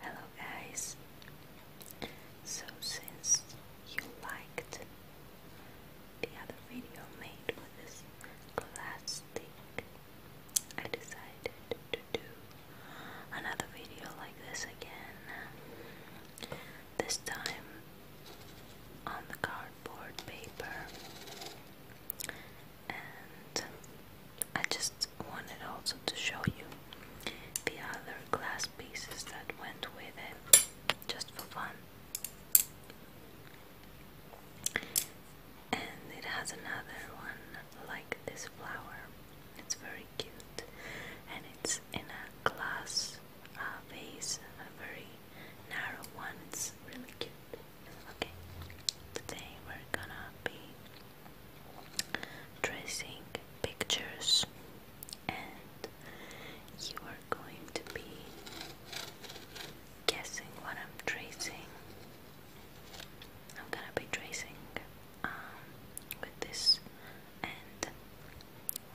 Hello guys. So since you liked the other video made with this plastic, I decided to do another video like this again. This time on the cardboard paper and I just wanted also to show you the other glass pieces that went with it just for fun. And it has another one like this flower. It's very cute and it's in a glass uh, vase, a very narrow one. It's really cute. Okay, today we're gonna be tracing pictures, and you are going to be guessing what I'm tracing. I'm gonna be tracing um, with this and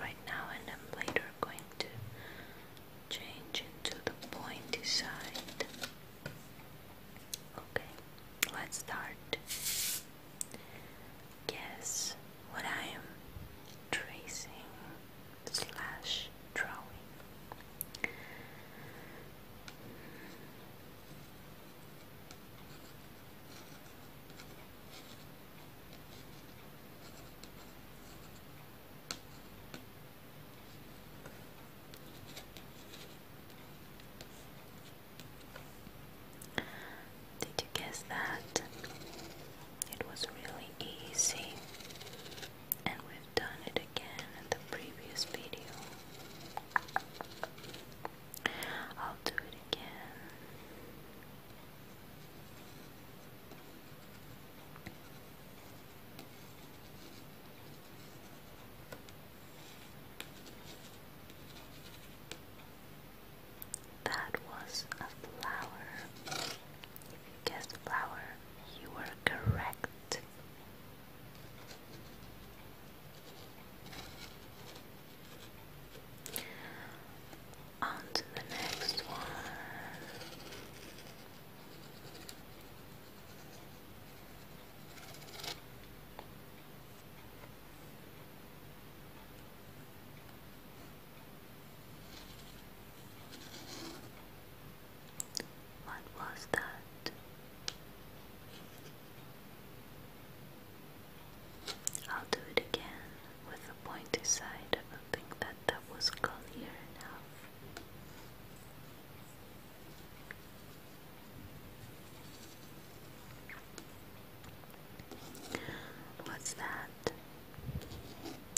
right now, and I'm later going to change into the pointy side. Okay, let's start. Guess what I am tracing slash drawing. Did you guess that? It was really easy, and we've done it again in the previous video. I'll do it again. That was a flower. If you guessed flower, you were correct. On to the next one. What was that? I'll do it again with a pointy side. I don't think that that was clear enough. What's that?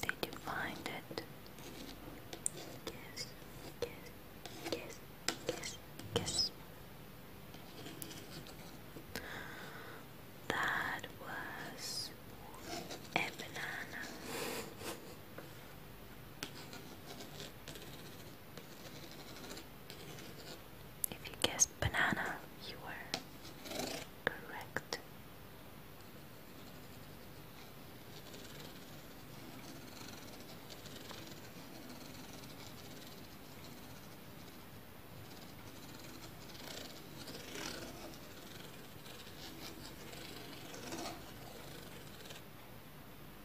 Did you find it? Kiss, kiss, kiss, kiss, kiss. That was a banana. If you guessed banana, you were correct.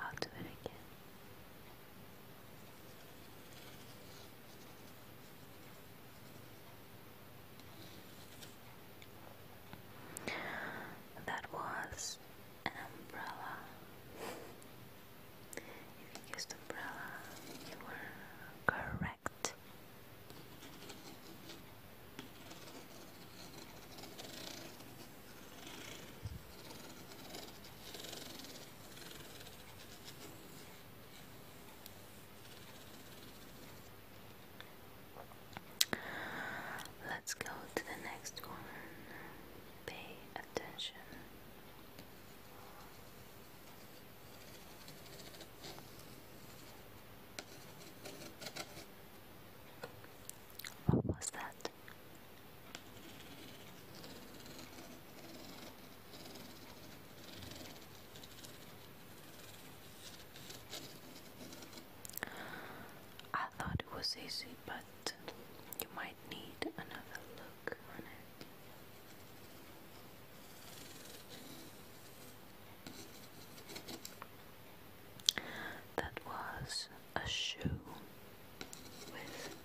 I'll do it again. That was an umbrella. you used umbrella, you were correct. Let's go to the next one. Pay attention. What was that? I thought it was easy, but you might need another look on it. That was a shoe with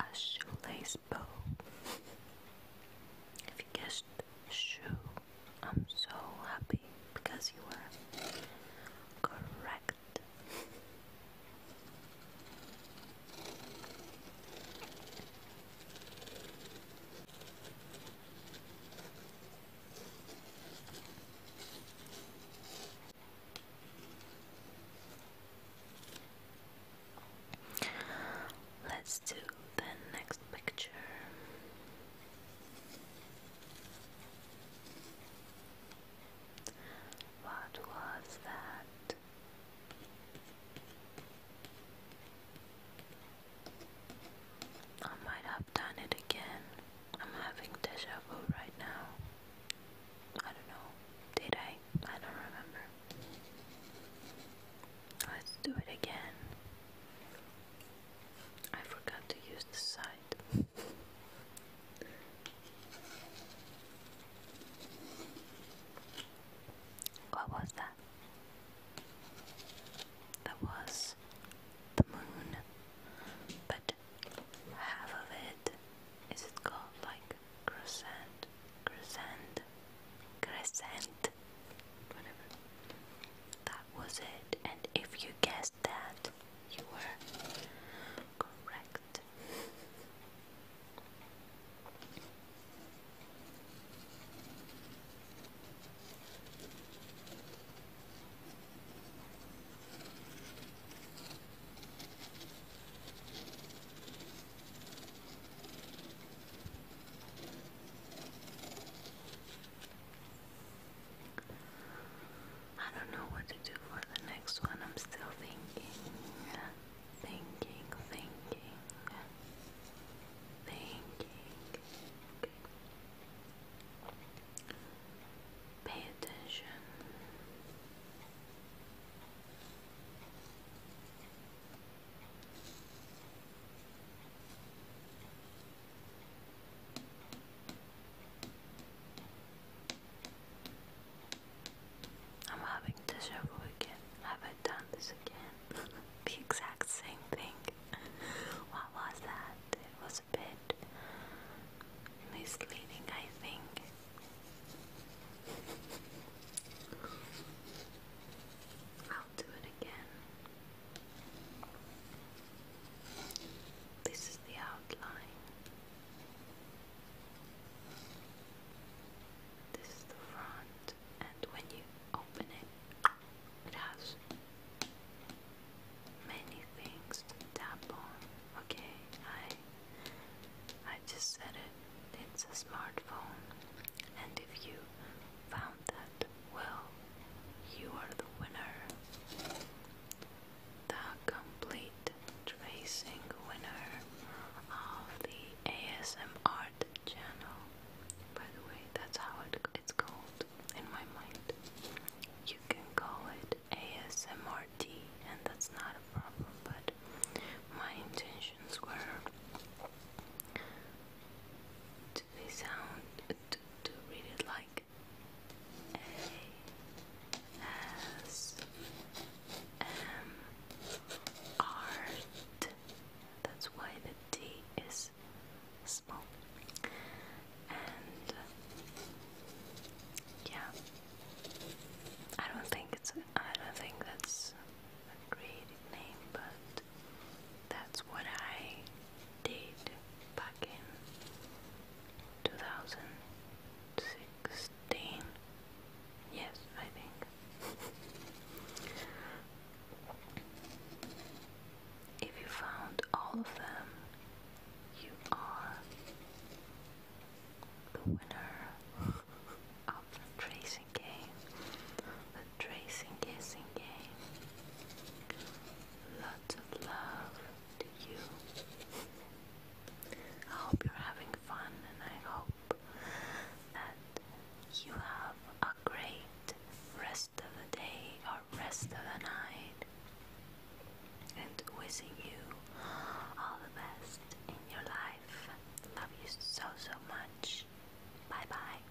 a shoelace bow. If you guessed shoe, I'm so happy because you were correct. Let's do the next picture. What was that? I might have done it again. I'm having deja vu right now. I don't know. Did I? I don't remember. Let's do it again. I forgot to use the side. What was that? That was the moon, but half of it is it called like crescent, crescent, crescent, whatever. That was it, and if you guessed that, you were correct. I don't know what to do for the next one. I'm still thinking, thinking, thinking, thinking. Pay attention. I'm having this over again. Have I done this again? the exact same thing. what was that? It was a bit bit misleading, I think. I'll do it again. This is the outline. This is the front, and when you open it, it has many things to tap on. Okay, I I just said it. It's a smartphone, and if you found that, well, you are the winner. The complete tracing winner of the ASMR channel. By the way, that's how it, it's called in my mind. You can call it ASMRT, and that's not a problem, but my intentions were to sound, to, read it like ASMR. That's why the T is small. And yeah, I don't think it's a, I don't think that's a creative name, but that's what I did back in 2016. Yes, I think. If you found all of them, you are the winner of the tracing game, the tracing guessing game. Lots of love to you. I hope you're having fun, and I hope that you have a great rest of the day or rest of the night. And wishing you all the best in your life. Love you so, so much. Bye bye.